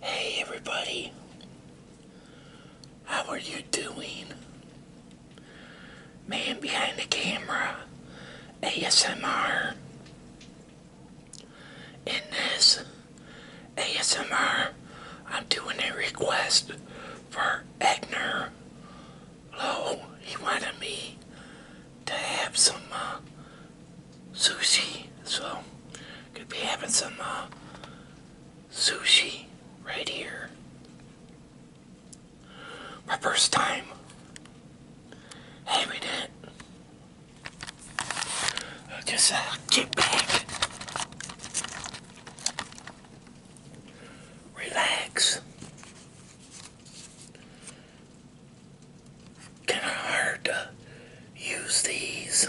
Hey everybody, how are you doing? Man behind the camera, ASMR. In this ASMR, I'm doing a request for Egner Low. He wanted me to have some uh, sushi. So, gonna be having some uh, sushi right here. My first time having it. I'll just get uh, back. Relax kind of hard to use these.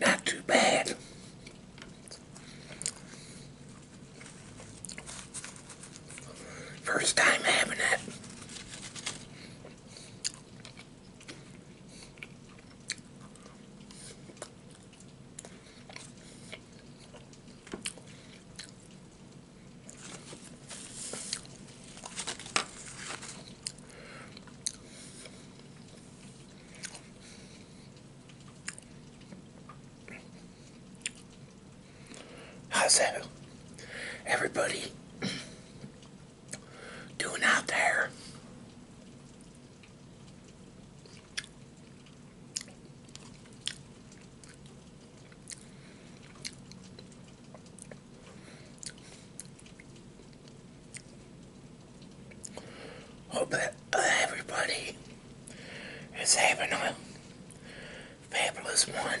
Not too bad. First time having it. How's that, everybody? doing out there. Hope that uh, everybody is having a fabulous one.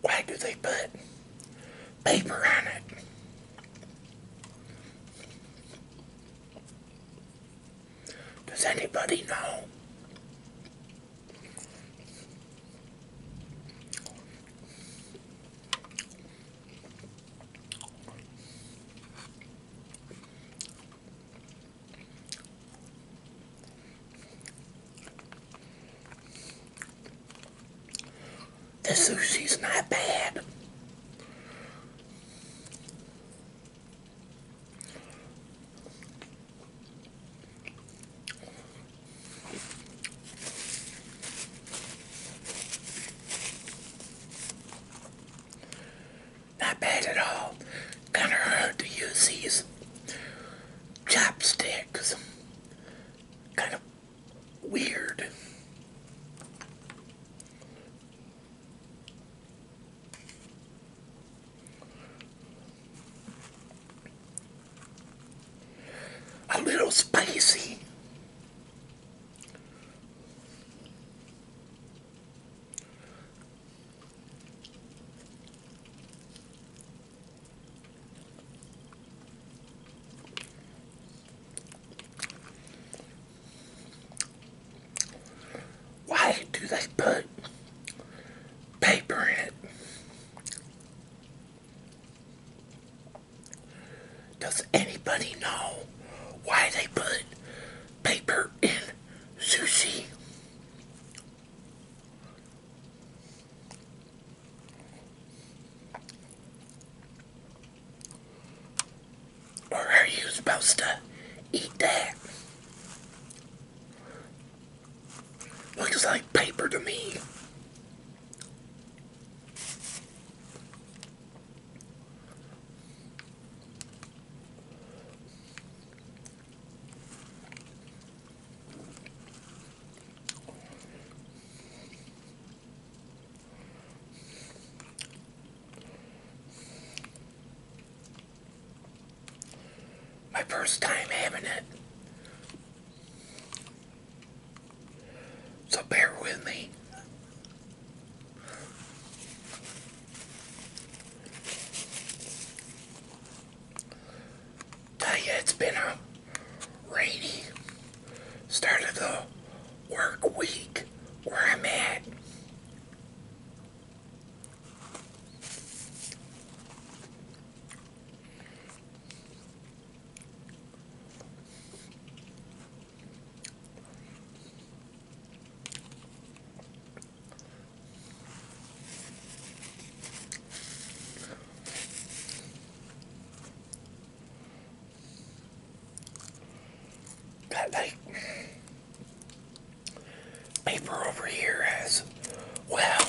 Why do they put paper on it? Does anybody know? The sushi's not bad. Not bad at all. Kinda hard to use these chopsticks. Kind of weird. A little spicy. Why do they put paper in it? Does anybody know why they put paper in sushi. Or are you supposed to eat that? Looks like paper to me. My first time having it. So bear with me. Tell it's been a rainy start of the work week where I'm at. That like paper over here as well.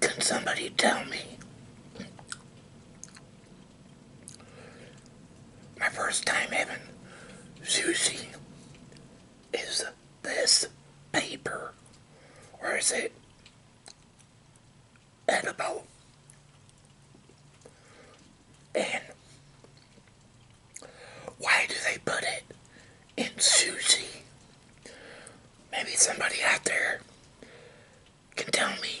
Can somebody tell me? My first time having sushi is this paper, or is it edible? And why do they put it in sushi? Maybe somebody out there can tell me.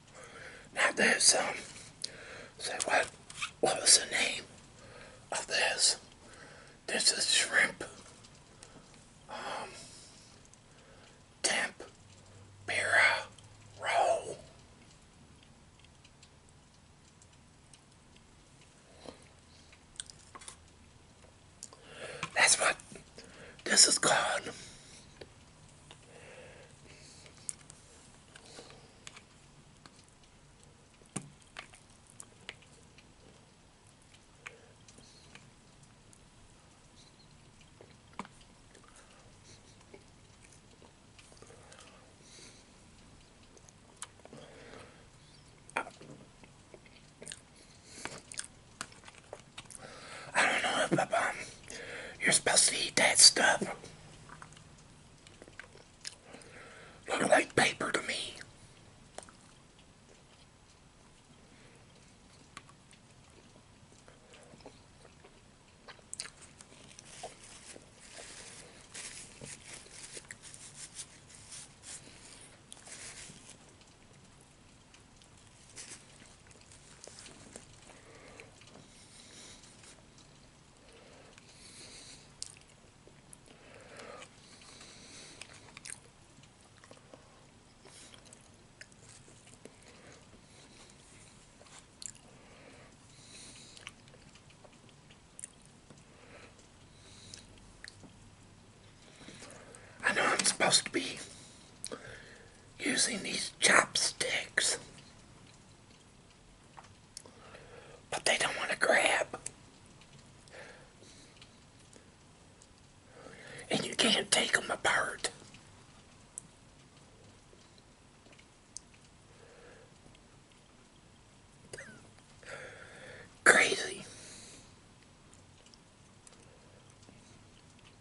Now there's um say what what was the name of this? This is shrimp um temp pira roll. That's what this is called. I don't know if you're supposed to eat that stuff. Look like paper to me. I know I'm supposed to be using these chopsticks. But they don't want to grab. And you can't take them apart. Crazy.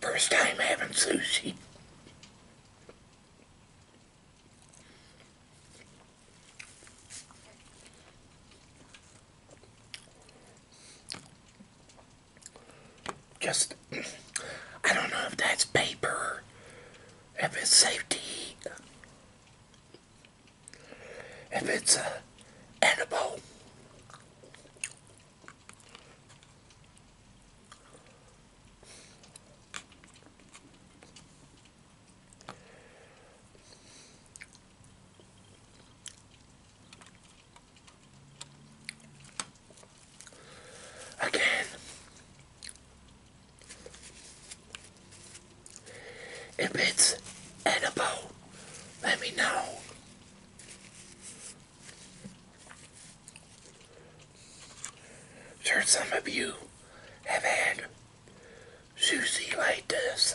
First time having sushi. Just, I don't know if that's paper, if it's safety if it's uh, edible. Again, if it's edible, let me know. sure some of you have had sushi like this.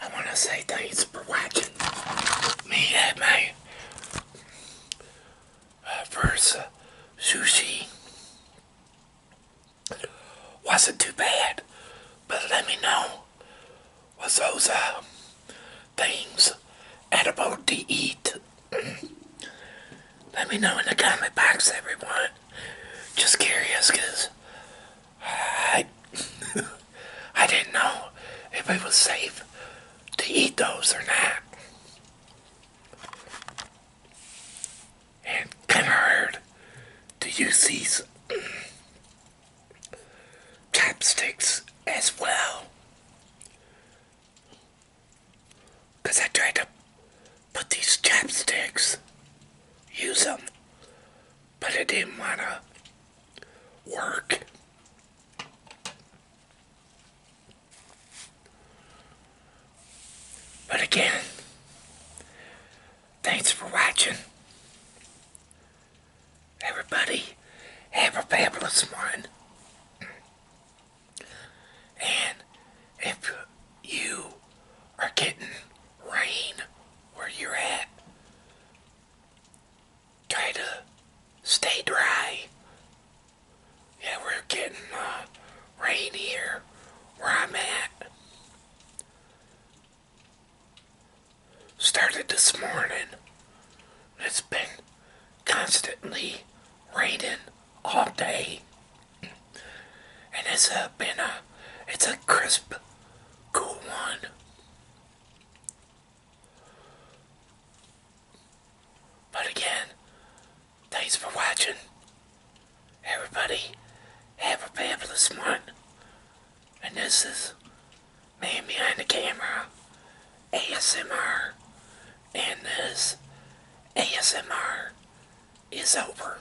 I want to say thanks for watching me and my uh, first uh, sushi. Wasn't too bad, but let me know was those uh, things edible to eat. let me know in the comment box, everyone. Just curious, because I, I didn't know if it was safe to eat those or not. And kind of hard to use these chopsticks as well. I tried to put these chopsticks, use them, but I didn't want to work. But again, thanks for watching. Everybody, have a fabulous one. And if you are getting rain where you're at, try to stay dry. Yeah, we're getting uh, rain here where I'm at. Started this morning. It's been constantly raining all day. And it's uh, been a, it's a crisp, cool one. But again, thanks for watching. Everybody, have a fabulous month, And this is me Behind the Camera, ASMR. And this ASMR is over.